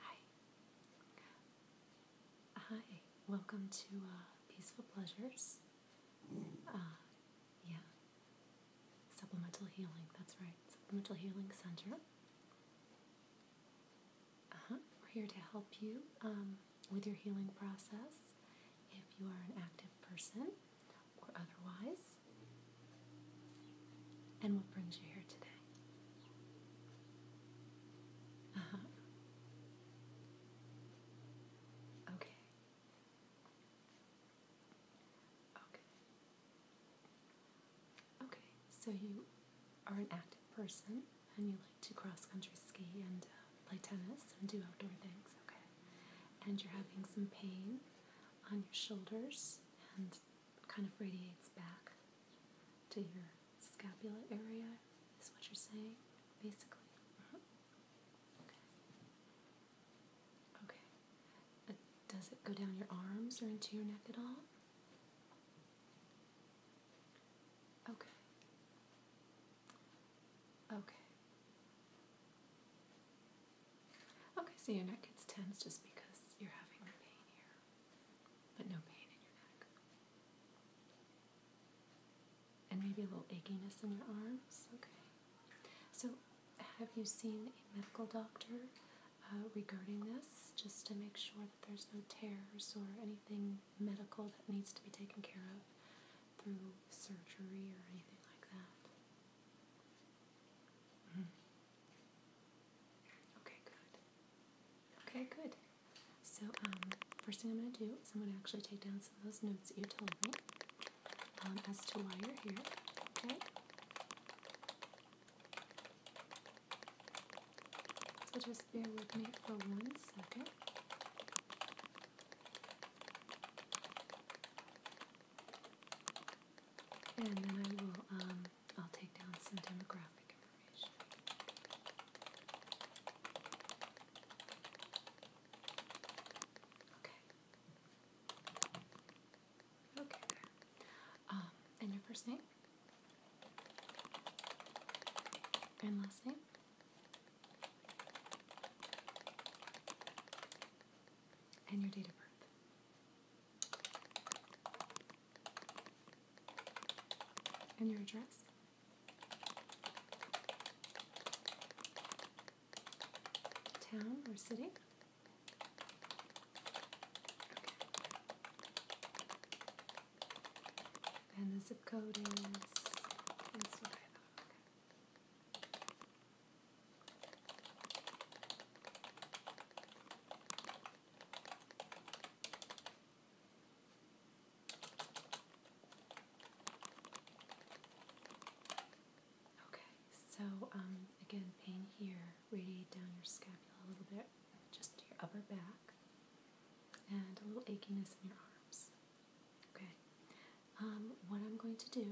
Hi. Hi. Welcome to uh, Peaceful Pleasures. Uh, yeah. Supplemental Healing, that's right. Supplemental Healing Center. Uh -huh. We're here to help you um, with your healing process if you are an active person or otherwise, and what brings you here today? Uh huh. Okay. Okay. Okay, so you are an active person and you like to cross country ski and uh, play tennis and do outdoor things, okay? And you're having some pain on your shoulders and kind of radiates back to your scapula area, is what you're saying, basically. Uh-huh. Okay. Okay. Uh, does it go down your arms or into your neck at all? Okay. Okay. Okay, so your neck gets tense just because you're having the pain here, but no pain in your neck. And maybe a little achiness in your arms. Okay. So, have you seen a medical doctor uh, regarding this just to make sure that there's no tears or anything medical that needs to be taken care of? through surgery or anything like that. Mm-hmm. Okay, good. Okay, good. So, um, first thing I'm going to do is I'm going to actually take down some of those notes that you told me um, as to why you're here. Okay? So, just bear with me for one second. And then I will, um, I'll take down some demographic information. Okay. Okay, um, and your first name? And last name? and your date of birth. And your address. Town or city. And the zip code is. Okay, so um, again, pain here, radiate down your scapula a little bit, just your upper back, and a little achiness in your arms. Okay. Um, what I'm going to do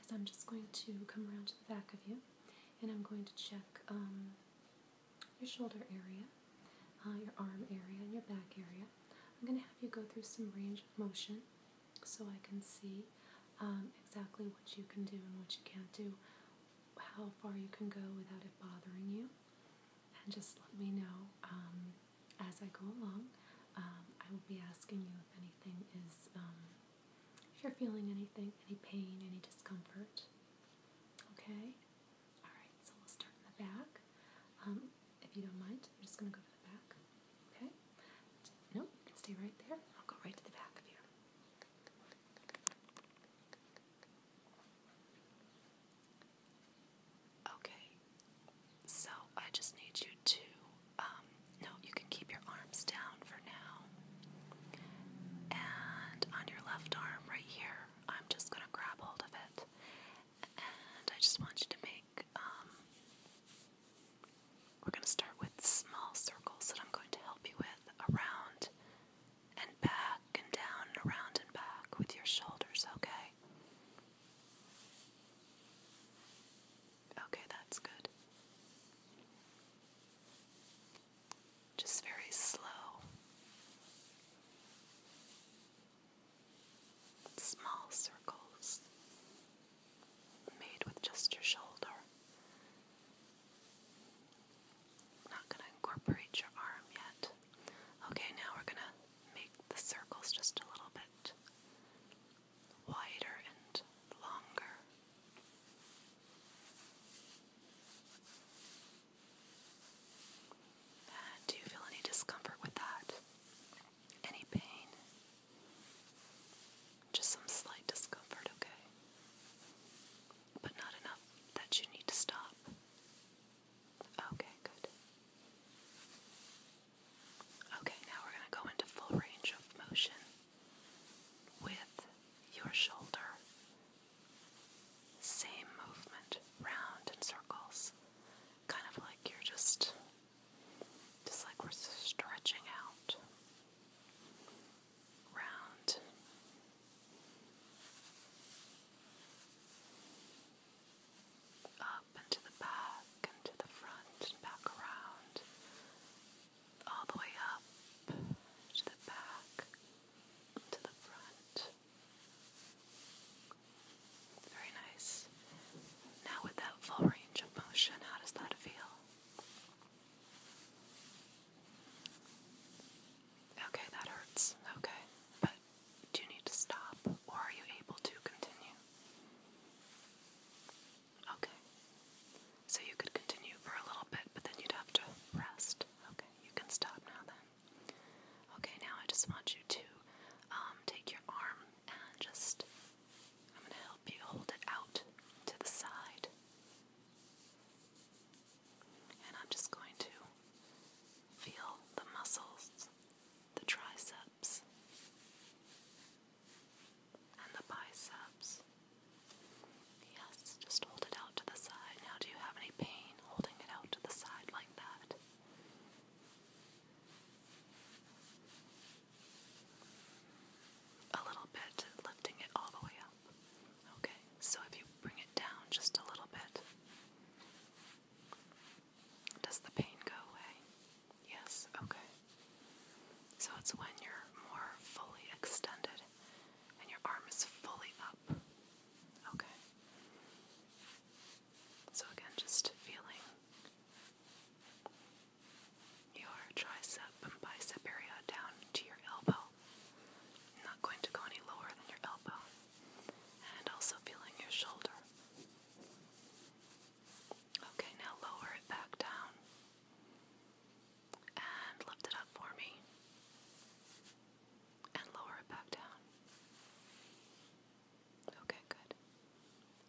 is I'm just going to come around to the back of you and I'm going to check um, your shoulder area, uh, your arm area, and your back area. I'm going to have you go through some range of motion so I can see um, exactly what you can do and what you can't do, how far you can go without it bothering you. And just let me know as I go along, um, I will be asking you if anything is, um, if you're feeling anything, any pain, any discomfort. Okay? Alright, so we'll start in the back. Um, if you don't mind, I'm just going to go to the back. Okay? No, you can stay right there. I'll go right to the back of you. Okay, so I just need you to, um, no, you can keep your arms down for now. And on your left arm right here, I'm just going to grab hold of it. And I just want you to make, um, we're going to start with small circles that I'm going to help you with around and back and down and around and back with your shoulders, okay? Okay, that's good. Just very slow. Small circles made with just your shoulder. not going to incorporate your arm yet. Okay, now we're going to make the circles just a little bit wider and longer. Uh, do you feel any discomfort with that? Any pain? Just some slight discomfort, okay? But not enough that you need to stop. Okay, good. Okay, now we're going to go into full range of motion with your shoulder. Same movement, round in circles. Kind of like you're just, just like we're stretching out. Round up the back and the front back around. All the way up, to the back, to the front. Very nice. Now, with that full range of motion, how does that feel? Okay, that hurts. Okay, but do you need to stop or are you able to continue? Okay. So you could continue for a little bit, but then you'd have to rest. Okay, you can stop now then. Okay, now I just want you to um, take your arm and just, I'm going to help you hold it out to the side. And I'm just going to feel the muscles, the tricep, and the biceps. Yes, just hold it out to the side. Now, do you have any pain holding it out to the side like that? A little bit, lifting it all the way up. Okay, so if you bring it down just a little bit, does the pain go away? Yes, okay. So it's when you're more fully extended and your arm is fully up. Okay. So again, just feeling your tricep and bicep area down to your elbow. i not going to go any lower than your elbow. And also feeling your shoulder. Okay, now lower it back down and lift it up for me and lower it back down. Okay, good.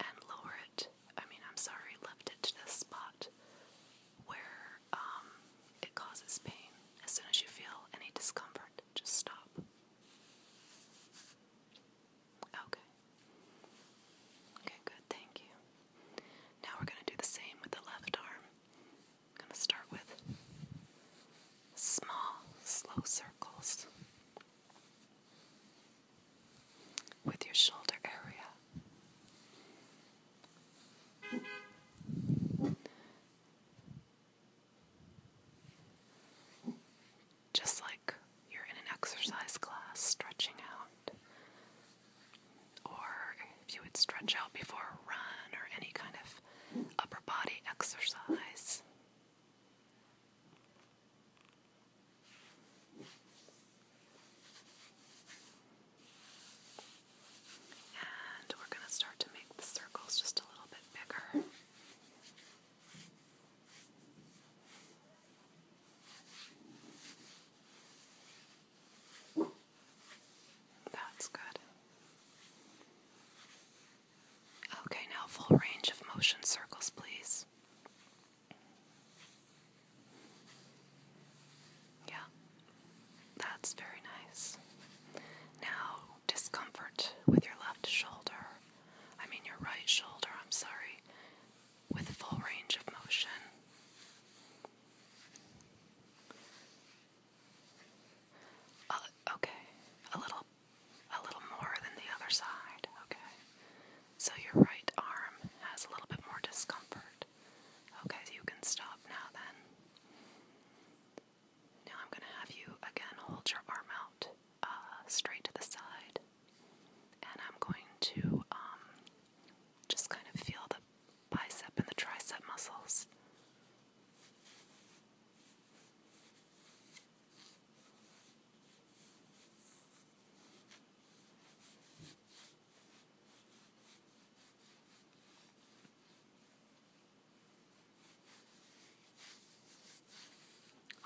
And lower it, I mean, I'm sorry, lift it to the spot where um, it causes pain. As soon as you feel any discomfort, just stop. Okay. Okay, good. Thank you. Now we're going to do the same with the left arm. going to start with small, slow circles with your shoulder area. Just like you're in an exercise class stretching out, or if you would stretch out before a run or any kind of upper body exercise. And we're going to start to make the circles just a little bit bigger. That's good. Okay, now full range of motion circles, please. Yeah, that's very nice. Now, discomfort with your left shoulder. I mean your right shoulder, I'm sorry, with full range of motion. Uh, okay, a little, a little more than the other side. Okay, so your right arm has a little bit more discomfort. Okay, you can stop now. Then, now I'm gonna have you again hold your arm out. Uh, straight to the side, and I'm going to um, just kind of feel the bicep and the tricep muscles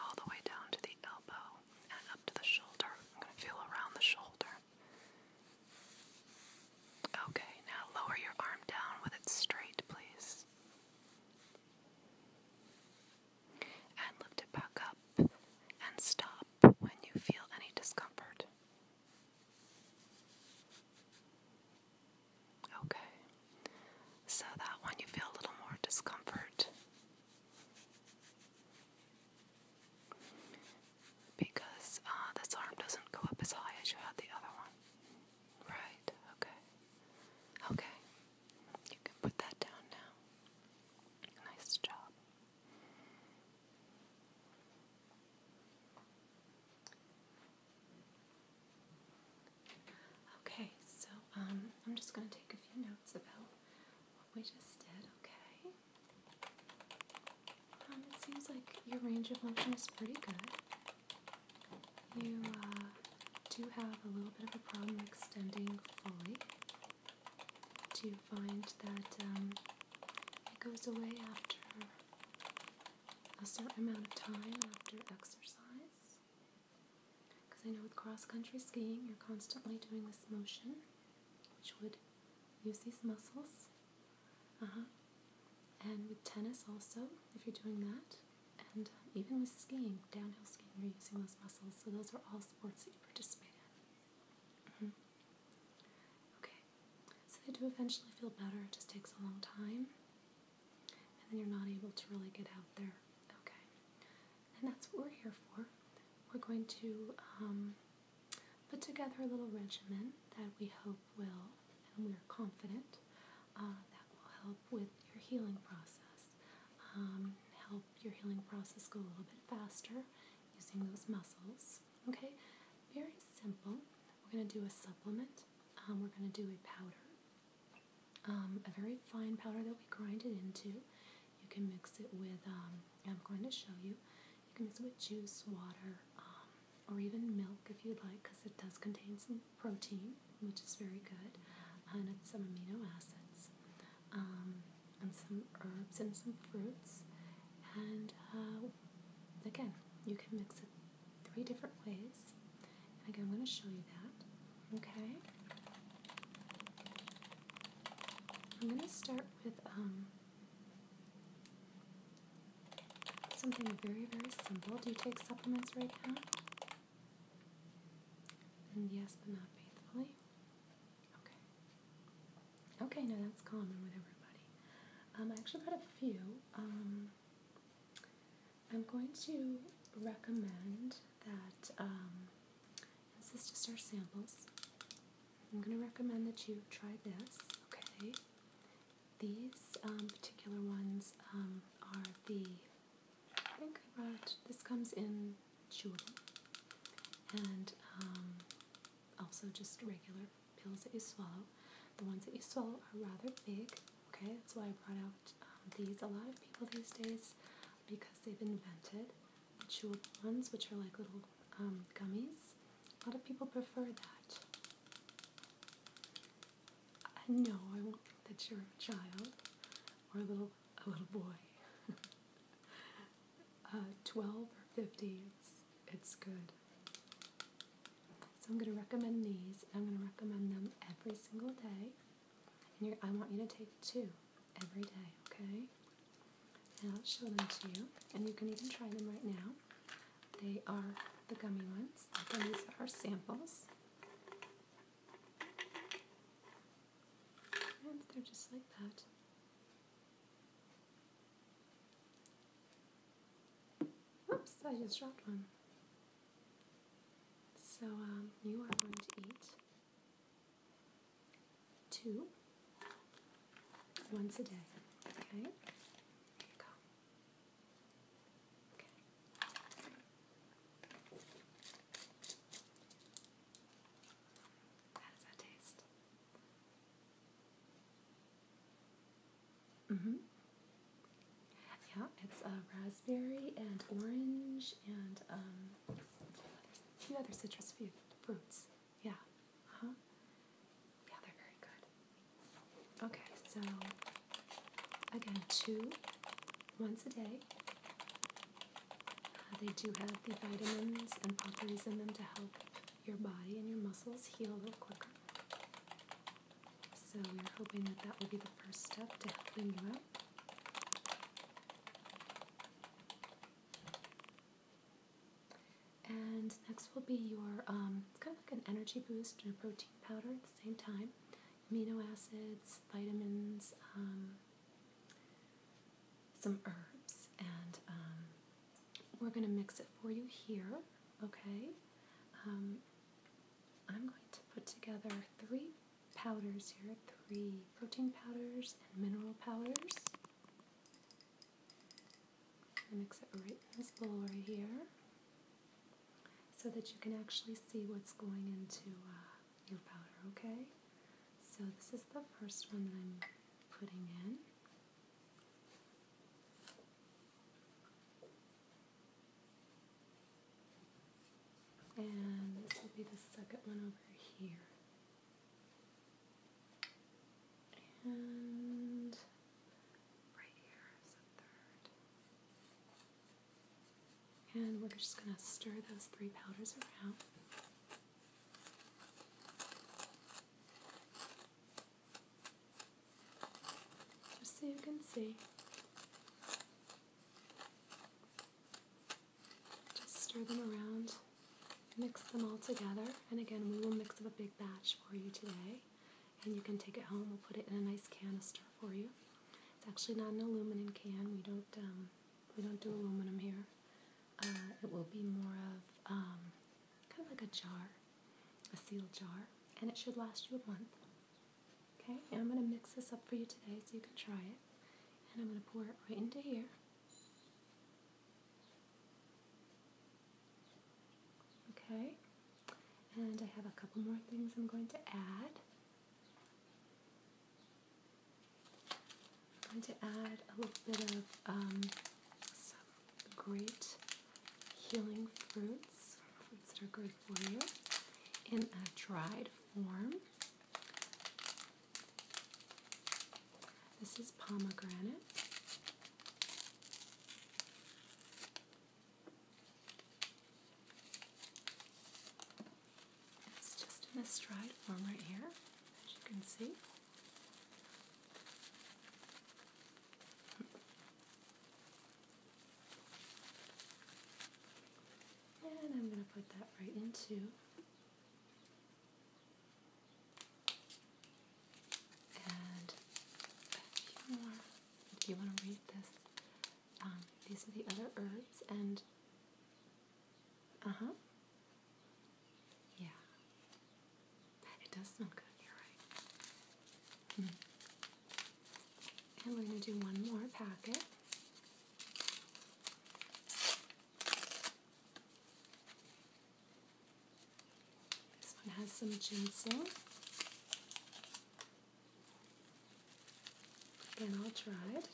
all the way down to the elbow and up to the shoulder. I'm going to feel around the shoulder. Okay, now lower your arm down with it straight, please. And lift it back up and stop when you feel any discomfort. Okay. So that one you feel a little more discomfort because uh, this arm doesn't go up as high as you had the other one. Right, okay. Okay. You can put that down now. Nice job. Okay, so um, I'm just going to take a few notes about what we just did, okay? Um, it seems like your range of motion is pretty good. You uh, do have a little bit of a problem extending fully. Do you find that um, it goes away after a certain amount of time after exercise? Because I know with cross country skiing, you're constantly doing this motion, which would use these muscles. Uh-huh. And with tennis, also, if you're doing that, and um, even with skiing, downhill skiing, you're using those muscles. So, those are all sports that you participate in. Mm-hmm. Okay, so they do eventually feel better, it just takes a long time and then you're not able to really get out there. Okay, and that's what we're here for. We're going to um, put together a little regimen that we hope will, and we're confident uh, that will help with your healing process. Um, help your healing process go a little bit faster using those muscles. Okay, very simple. We're going to do a supplement. Um, we're going to do a powder. Um, a very fine powder that we grind it into. You can mix it with, um, I'm going to show you, you can mix it with juice, water, um, or even milk if you'd like, because it does contain some protein, which is very good, and it's some amino acids, and some herbs and some fruits. And uh, again, you can mix it three different ways. I'm going to show you that. Okay. I'm going to start with um, something very, very simple. Do you take supplements right now? And yes, but not faithfully. Okay. Okay, no, that's common with everybody. Um, I actually got a few. Um, I'm going to recommend that um, is this just our samples. I'm going to recommend that you try this, okay? These um, particular ones um, are the, I think I brought, this comes in chewable and um, also just regular pills that you swallow. The ones that you swallow are rather big, Okay, that's why I brought out um, these. A lot of people these days, because they've invented chewed ones, which are like little um, gummies, a lot of people prefer that. I know I won't that you're a child or a little a little boy. Uh, twelve or fifty, it's good. So I'm going to recommend these. I'm going to recommend them every single day. And I want you to take two every day, okay? And I'll show them to you. And you can even try them right now. They are the gummy ones. these are our samples. And they're just like that. Oops, I just dropped one. So um, you are going to eat two once a day. Okay? go. Okay. How does that taste? Mm-hmm. Yeah, it's a raspberry and orange and a um, few other citrus fruits. Yeah, huh. Yeah, they're very good. Okay, so again, two, once a day. Uh, they do have the vitamins and properties in them to help your body and your muscles heal a little quicker. So we're hoping that that will be the first step to helping you out. And next will be your um, kind of like an energy boost and a protein powder at the same time. Amino acids, vitamins, um, some herbs, and um, we're going to mix it for you here, okay? Um, I'm going to put together three powders here three protein powders and mineral powders. mix it right in this bowl right here so that you can actually see what's going into uh, your powder, okay? So this is the first one that I'm putting in. And this will be the second one over here. And right here is the third. And we're just going to stir those three powders around. Just so you can see. Just stir them around, mix them all together, and again, we will mix up a big batch for you today. And you can take it home, we'll put it in a nice canister for you. It's actually not an aluminum can, we don't, um, we don't do aluminum here. Uh, it will be more of um, kind of like a jar, a sealed jar, and it should last you a month. Okay, I'm going to mix this up for you today so you can try it. And I'm going to pour it right into here. Okay, and I have a couple more things I'm going to add. I'm going to add a little bit of um, some great healing fruits, fruits that are good in a dried form. This is pomegranate. It's just in a dried form right here, as you can see. And I'm going to put that right into and if you, want, if you want to read this, um, these are the other herbs and uh-huh. Yeah. It does smell good, you're right. Mm. And we're going to do one more packet. This one has some ginseng. Again, all dried.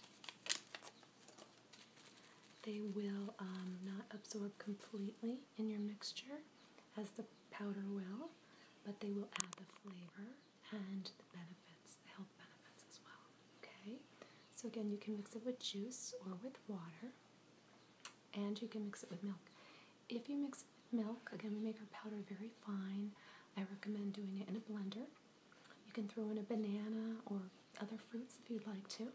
They will um, not absorb completely in your mixture as the powder will, but they will add the flavor and the benefits, the health benefits as well. Okay? So, again, you can mix it with juice or with water, and you can mix it with milk. If you mix it with milk, again, we make our powder very fine. I recommend doing it in a blender. You can throw in a banana or other fruits if you'd like to,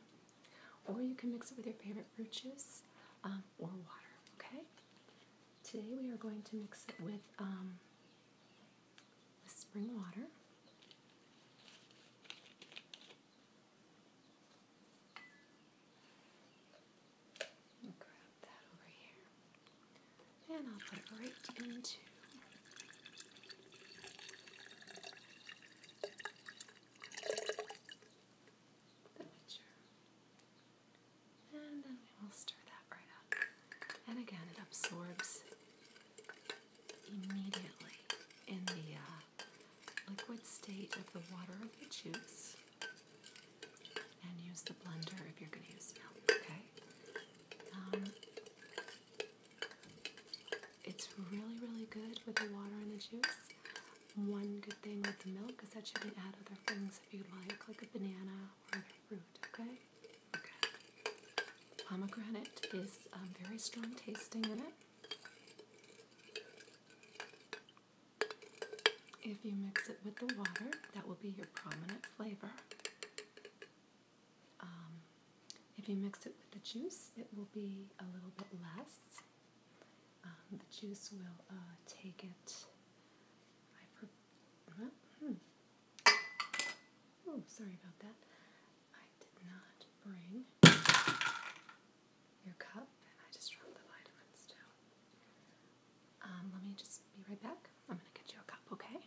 or you can mix it with your favorite fruit juice um, or water. Okay? Today we are going to mix it with um, spring water. grab that over here, and I'll put it right into and then we will stir that right up. And again, it absorbs immediately in the uh, liquid state of the water of the juice. And use the blender if you're going to use milk, okay? Um, it's really, really good with the water and the juice. One good thing with the milk is that you can add other things if you like, like a banana or fruit, okay? Pomegranate is very strong tasting in it. If you mix it with the water, that will be your prominent flavor. Um, if you mix it with the juice, it will be a little bit less. Um, the juice will uh, take it. Uh Oh, sorry about that. I did not bring your cup, and I just dropped the vitamins too. Um, let me just be right back. I'm gonna get you a cup, okay?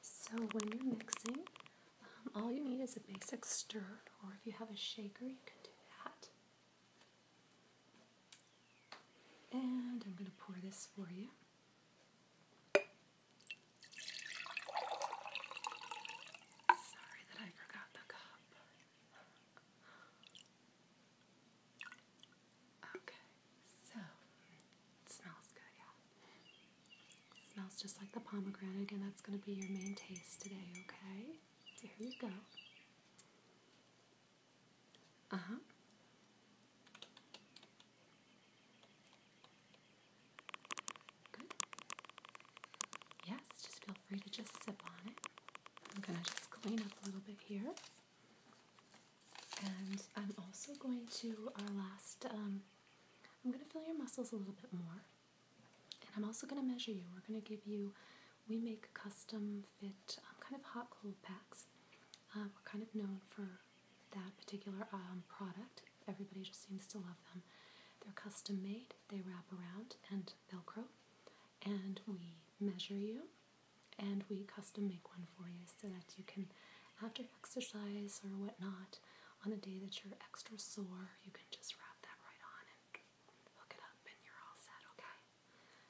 So when you're mixing, um, all you need is a basic stir, or if you have a shaker, you can do that. And I'm going to pour this for you. Sorry that I forgot the cup. Okay, so it smells good, yeah. smells just like the pomegranate, and that's going to be your main taste today, okay? So here you go. Uh huh. Good. Yes, just feel free to just sip on it. I'm going to just clean up a little bit here. And I'm also going to, our last, um, I'm going to feel your muscles a little bit more. And I'm also going to measure you. We're going to give you, we make custom fit um, kind of hot cold packs. Uh, we're kind of known for that particular um, product. Everybody just seems to love them. They're custom made, they wrap around and Velcro, and we measure you and we custom make one for you so that you can, after exercise or whatnot, on a day that you're extra sore, you can just wrap that right on and hook it up and you're all set, okay?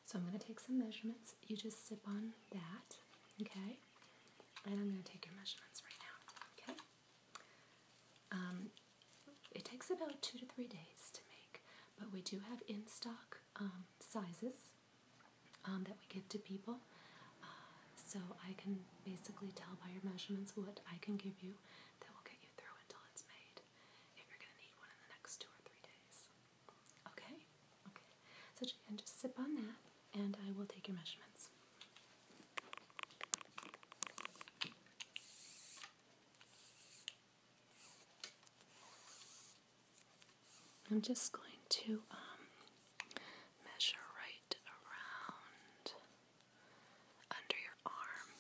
So I'm going to take some measurements. You just sip on that, okay? And I'm going to take your measurements right now, okay? Um, it takes about two to three days to make, but we do have in stock um, sizes um, that we give to people. Uh, so I can basically tell by your measurements what I can give you that will get you through until it's made if you're going to need one in the next two or three days. Okay? Okay. So you can just sip on that and I will take your measurements. I'm just going to um, measure right around under your arm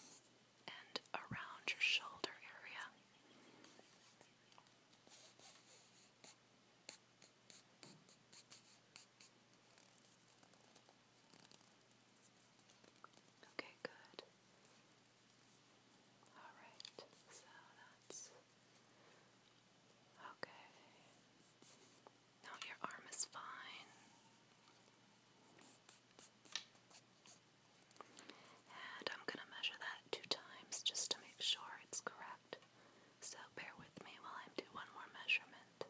and around your shoulder area. Okay, good. Alright, so that's okay. Now your arm is fine. And I'm going to measure that two times just to make sure it's correct. So bear with me while I do one more measurement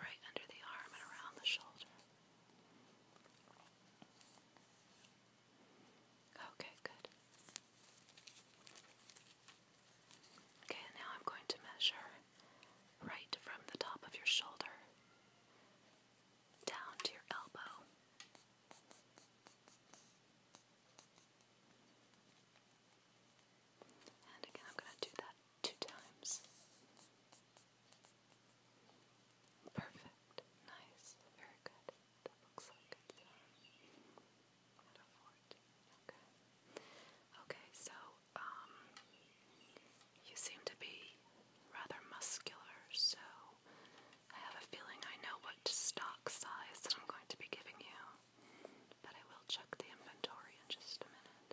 right under the arm and around the shoulder. Okay, good. Okay, now I'm going to measure right from the top of your shoulder down to your elbow. And again, I'm going to do that two times. Perfect. Nice. Very good. That looks like a Okay. Okay, so, um, you seem to be rather muscular, so I have a feeling I know what stock size that I'm going to be giving you, but I will check the inventory in just a minute.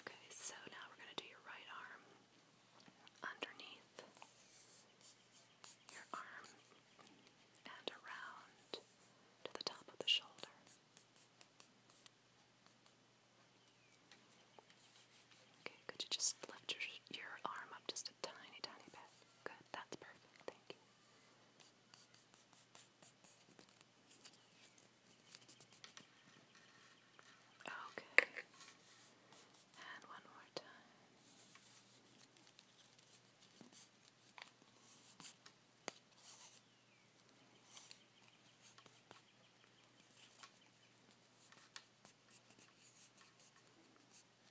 Okay, so now we're going to do your right arm underneath your arm and around to the top of the shoulder. Okay, could you just lift your, your arm up just a tiny, tiny bit? Good, that's perfect. Thank you. Okay. And one more time.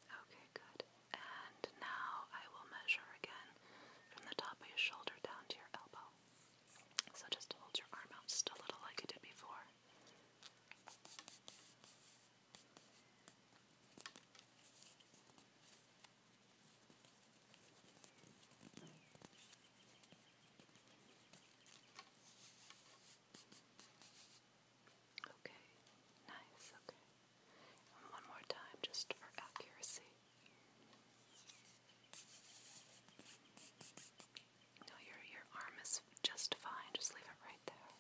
Okay, good. And now I will measure again from the top of your shoulder down to your elbow. So just hold your arm out just a little like you did before. Okay, nice, okay. one more time just for accuracy. No, your your arm is just fine. Just leave it right there.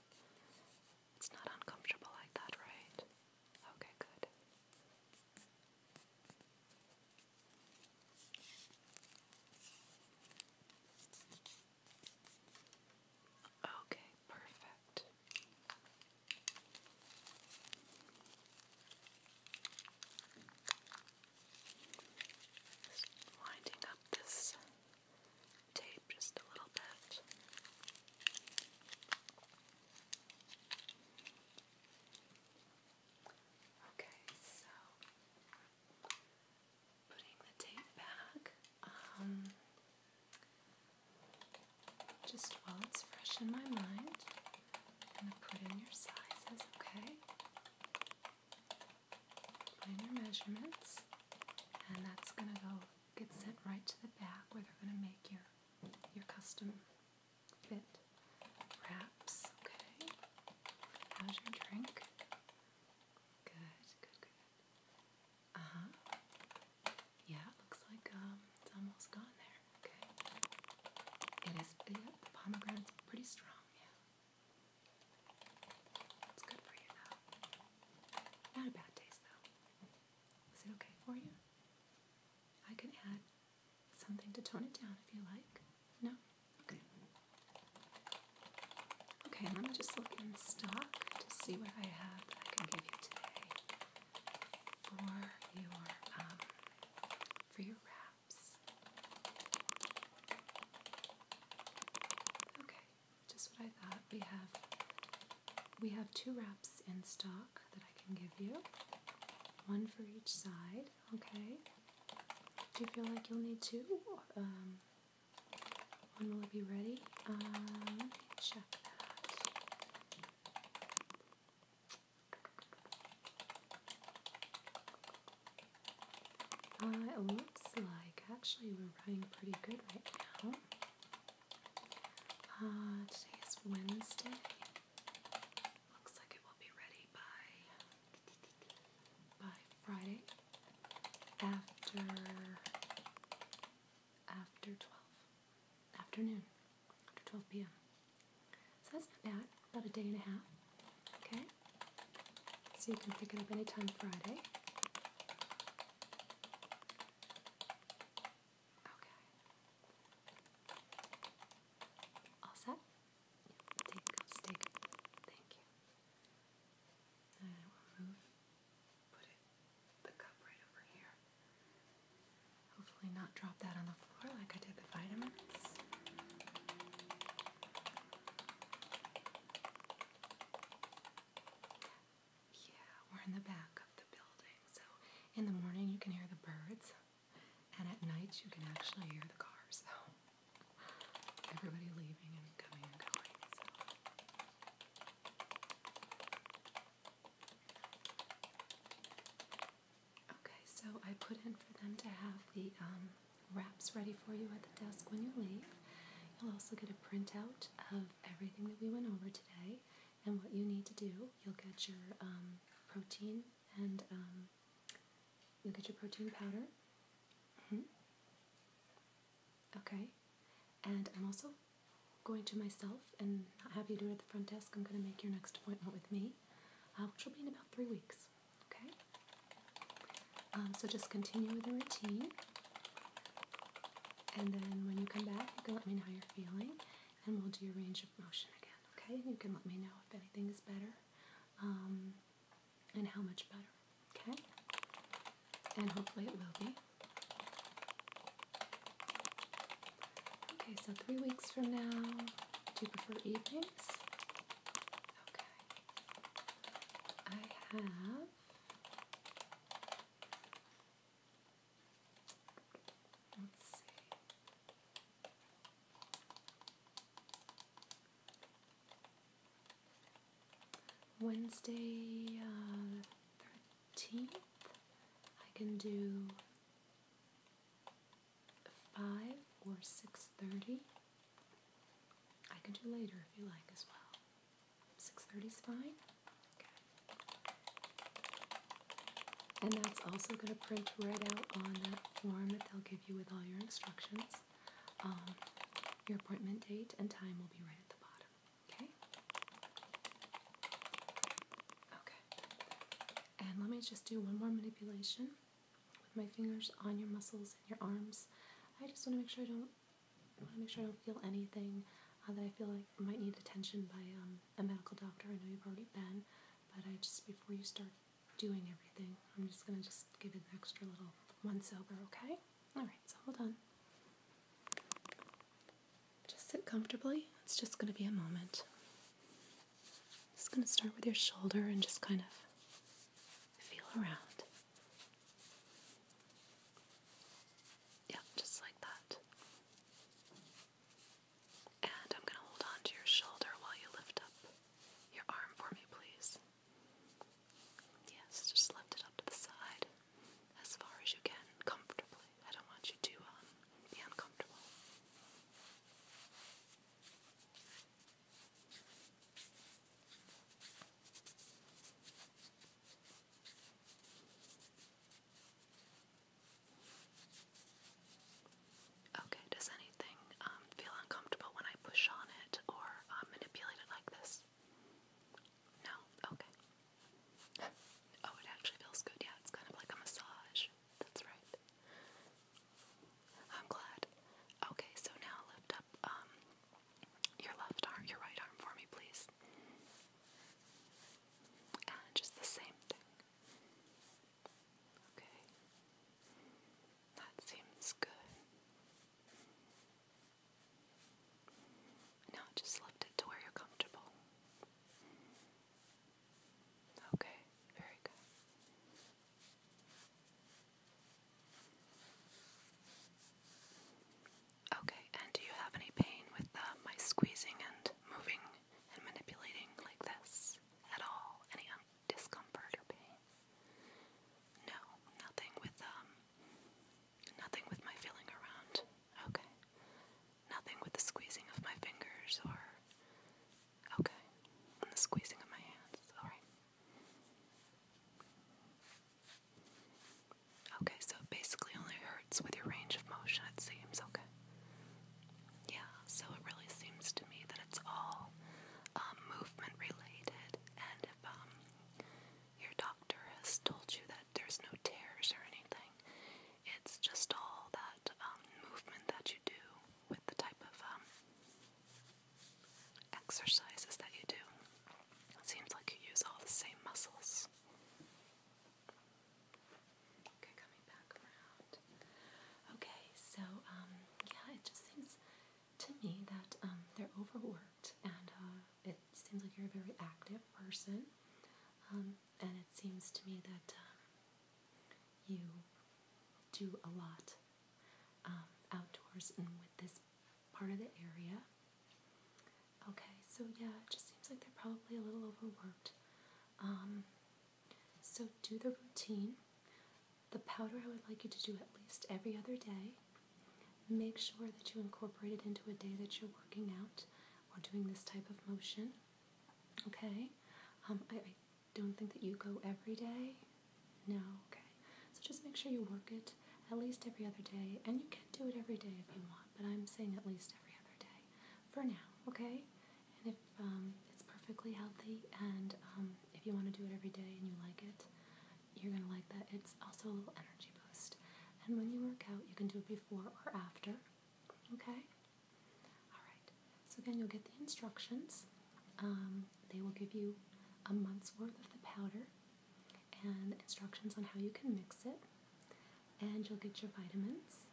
It's not uncomfortable like that, right? Okay, good. Okay, perfect. winding up this tape just a little bit. Okay, so putting the tape back um, just while it's fresh in my mind, I'm going to put in your sizes, okay? Put in your measurements, and that's going to go get sent right to the back where they're going to make your your custom fit wraps. Okay. How's your drink? Good, good, good. Uh huh. Yeah, looks like um, it's almost gone there. Okay. It is. pomegranate's pretty strong. Yeah. It's good for you though. Not a bad taste though. Is it okay for you? I can add something to tone it down if you like. No? Okay. Okay, let me just look in stock to see what I have that I can give you today for your um, for your wraps. Okay, just what I thought. We have we have two wraps in stock that I can give you. One for each side. Okay. Do you feel like you'll need two? Um, when will it be ready? Um, let me check that. Uh, it looks like actually we're running pretty good right now. Uh, today is Wednesday. Looks like it will be ready by by Friday after after 12 afternoon, after 12 p.m. So that's not bad, about a day and a half. Okay? So you can pick it up anytime Friday. Okay. All set? take take Thank you. I will move put it, the cup right over here. Hopefully not drop that on the floor like I did the vitamins. Yeah, we're in the back of the building, so in the morning you can hear the birds, and at night you can actually hear the cars. everybody leaving so. Okay, so I put in for them to have the um, wraps ready for you at the desk when you leave. You'll also get a printout of everything that we went over today and what you need to do. You'll get your um, protein and um, you'll get your protein powder. Mm-hmm. Okay. And I'm also going to myself and not have you do it at the front desk. I'm going to make your next appointment with me, uh, which will be in about three weeks. Okay. Um, so just continue with the routine. And then when you come back, you can let me know how you're feeling, and we'll do a range of motion again. Okay. You can let me know if anything is better, um, and how much better. Okay? And hopefully it will be. Okay, so three weeks from now, do you prefer evenings? Okay. I have. Let's see. Wednesday 13th, uh, I can do 5 or 6.30. I can do later if you like as well. 6.30 is fine. And that's also going to print right out on that form that they'll give you with all your instructions. Um, your appointment date and time will be right at the bottom. Okay. Okay. And let me just do one more manipulation with my fingers on your muscles and your arms. I just want to make sure I don't want to make sure I don't feel anything uh, that I feel like might need attention by um, a medical doctor. I know you've already been, but I just before you start doing everything, I'm just gonna just give it an extra little once over, okay? All right, so hold on. Just sit comfortably. It's just going to be a moment. just going to start with your shoulder and just kind of feel around. Yeah, just like that. And I'm going to hold on to your shoulder while you lift up your arm for me, please. Yes, just lift it up to the side as far as you can, comfortably. I don't want you to um, be uncomfortable. Okay, does anything um, feel uncomfortable when I push on it or uh, manipulate it like this? No? Okay. Oh, it actually feels good. Yeah, it's kind of like a massage. That's right. I'm glad. Okay, so now lift up um your left arm, your right arm for me, please. And just the same thing. Okay. That seems good. Now just lift it to where you're comfortable. Okay, very good. Okay, and do you have any pain with um, my squeezing and moving and manipulating like this at all? Any um, discomfort or pain? No, nothing with um, Nothing with my feeling around. Okay. Nothing with the squeezing of my fingers or. Okay. the squeezing of my hands. Alright. Okay, so it basically only hurts with your range of motion, it seems. Okay. Yeah, so it really seems to me that it's all um, movement related, and if um, your doctor has told you that there's no tears or anything. It's just all that um, movement that you do with the type of um, exercises that you do. It seems like you use all the same muscles. Okay, coming back around. Okay, so um, yeah, it just seems to me that they're overworked and uh, it seems like you're a very active person, um, and it seems to me that um, you do a lot um, outdoors and with this part of the area. Okay, so yeah, it just seems like they're probably a little overworked. so do the routine. The powder I would like you to do at least every other day. Make sure that you incorporate it into a day that you're working out or doing this type of motion. Okay? Um, I, don't think that you go every day. No, okay. So just make sure you work it at least every other day. And you can do it every day if you want, but I'm saying at least every other day for now, okay? And if um, it's perfectly healthy and um, if you want to do it every day and you like it, you're gonna like that. It's also a little energy boost. And when you work out, you can do it before or after. Okay? Alright. So again, you'll get the instructions. Um, they will give you a month's worth of the powder and instructions on how you can mix it. And you'll get your vitamins.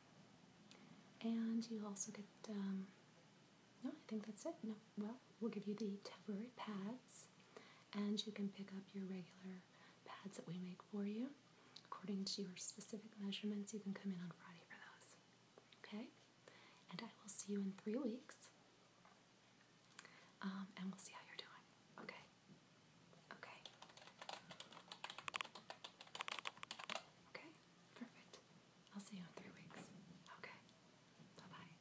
And you also get, um, no, I think that's it. No, well, We'll give you the temporary pads, and you can pick up your regular pads that we make for you. According to your specific measurements, you can come in on Friday for those. Okay? And I will see you in three weeks, um, and we'll see how you're doing. Okay? Okay. Okay, perfect. I'll see you in three weeks. Okay. Bye bye.